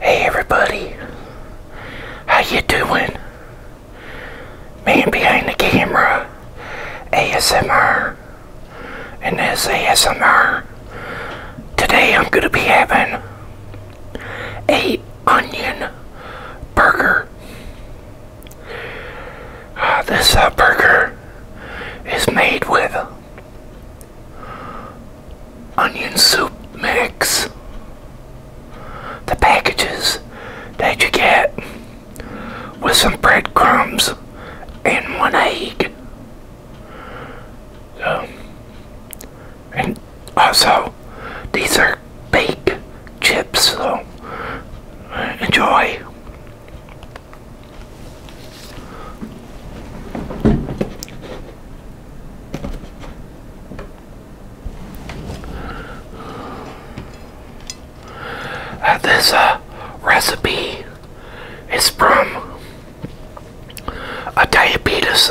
Hey everybody, how you doing? Man behind the camera, ASMR, and this ASMR. Today I'm gonna be having a onion burger. Uh, this uh, burger is made with onion soup mix. The packages that you get with some breadcrumbs and one egg. Um, and also, these are baked chips, so enjoy. Uh, this uh, recipe is from a diabetes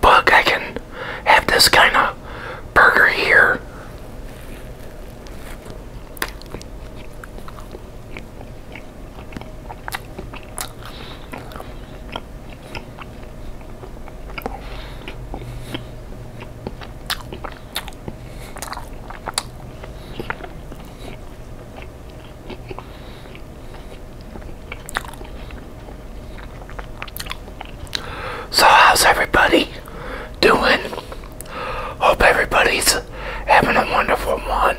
book. I can have this kind of burger here. So, how's everybody doing? Hope everybody's having a wonderful one.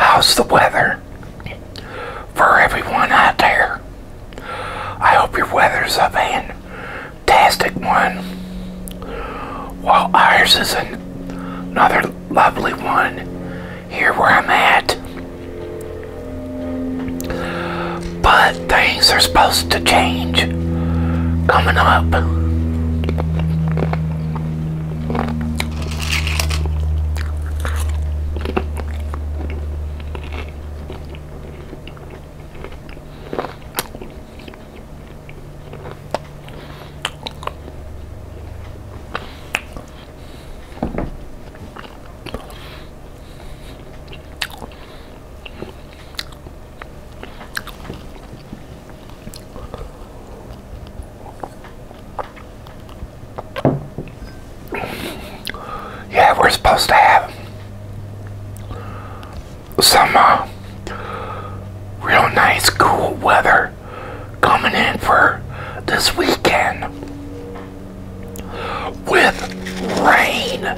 How's the weather for everyone out there? I hope your weather's a fantastic one. While ours is not Another lovely one here where I'm at. But things are supposed to change coming up. Yeah, we're supposed to have some real nice cool weather coming in for this weekend with rain.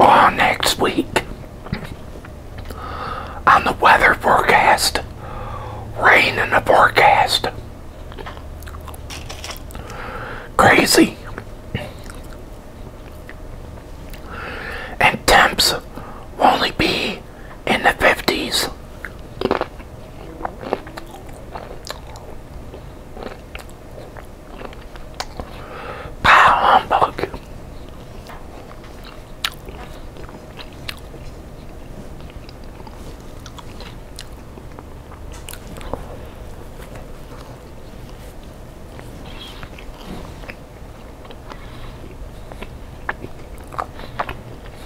All next week on the weather forecast, rain in the forecast. Crazy. And temps will only be in the 50s. Pow humbug.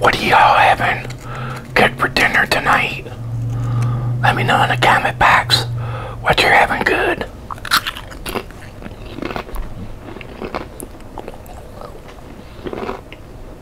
What are y'all having good for dinner tonight? Let me know in the comment box what you're having good.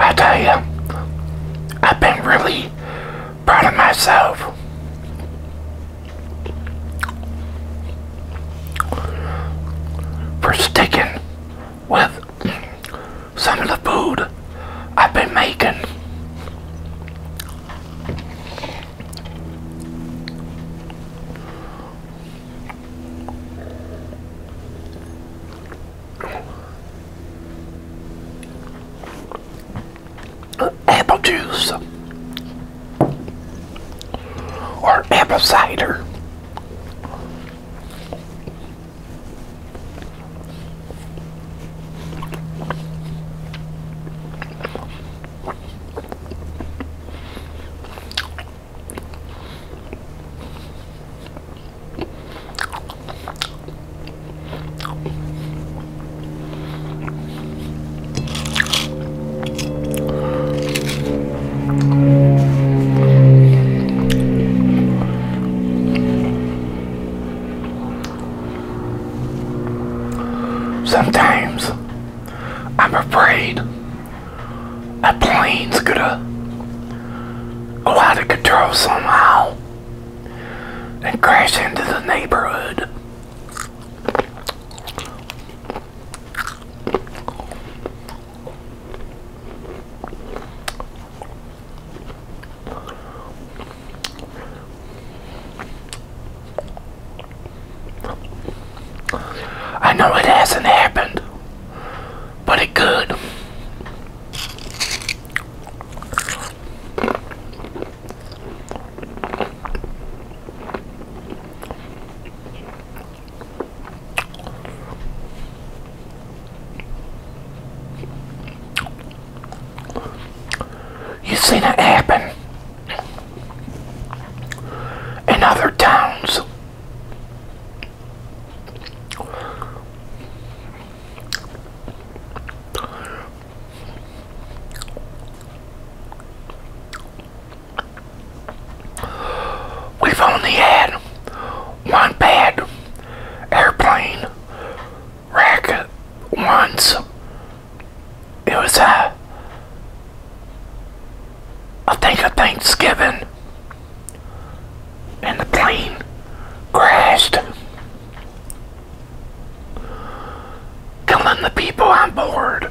I tell you, I've been really proud of myself. For sticking with some of the food I've been making apple juice or apple cider. Sometimes I'm afraid a plane's gonna go out of control somehow and crash into the neighborhood. I know it hasn't happened, but it could. You've seen it happen in other towns. We've only had one bad airplane wreck once. It was a I think of Thanksgiving and the plane crashed, killing the people on board.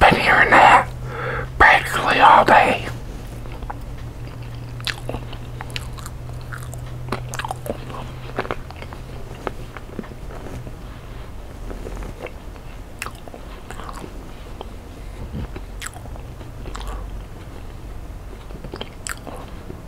Been hearing that practically all day.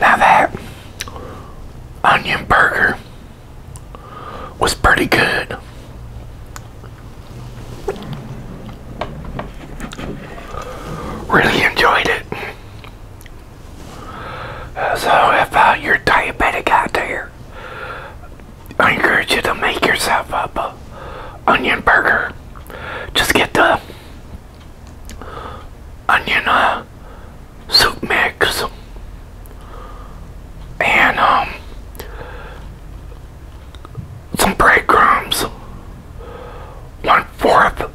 Now that onion burger was pretty good. Really enjoyed it. So if uh, you're diabetic out there, I encourage you to make yourself up a onion burger. Just get the onion uh, soup mix and um, some breadcrumbs. One fourth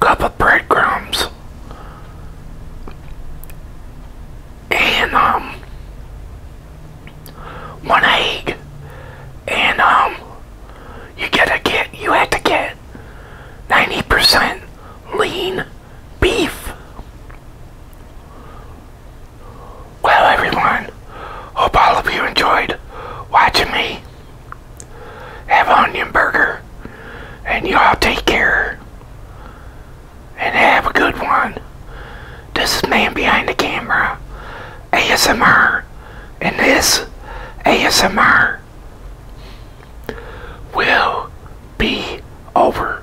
cup of breadcrumbs. And, um, one egg. And, um, you gotta get, you had to get 90% lean beef. Well, everyone, hope all of you enjoyed watching me have onion burger. And you all take care. And have a good one. This is Man Behind the Camera, ASMR, and this ASMR will be over.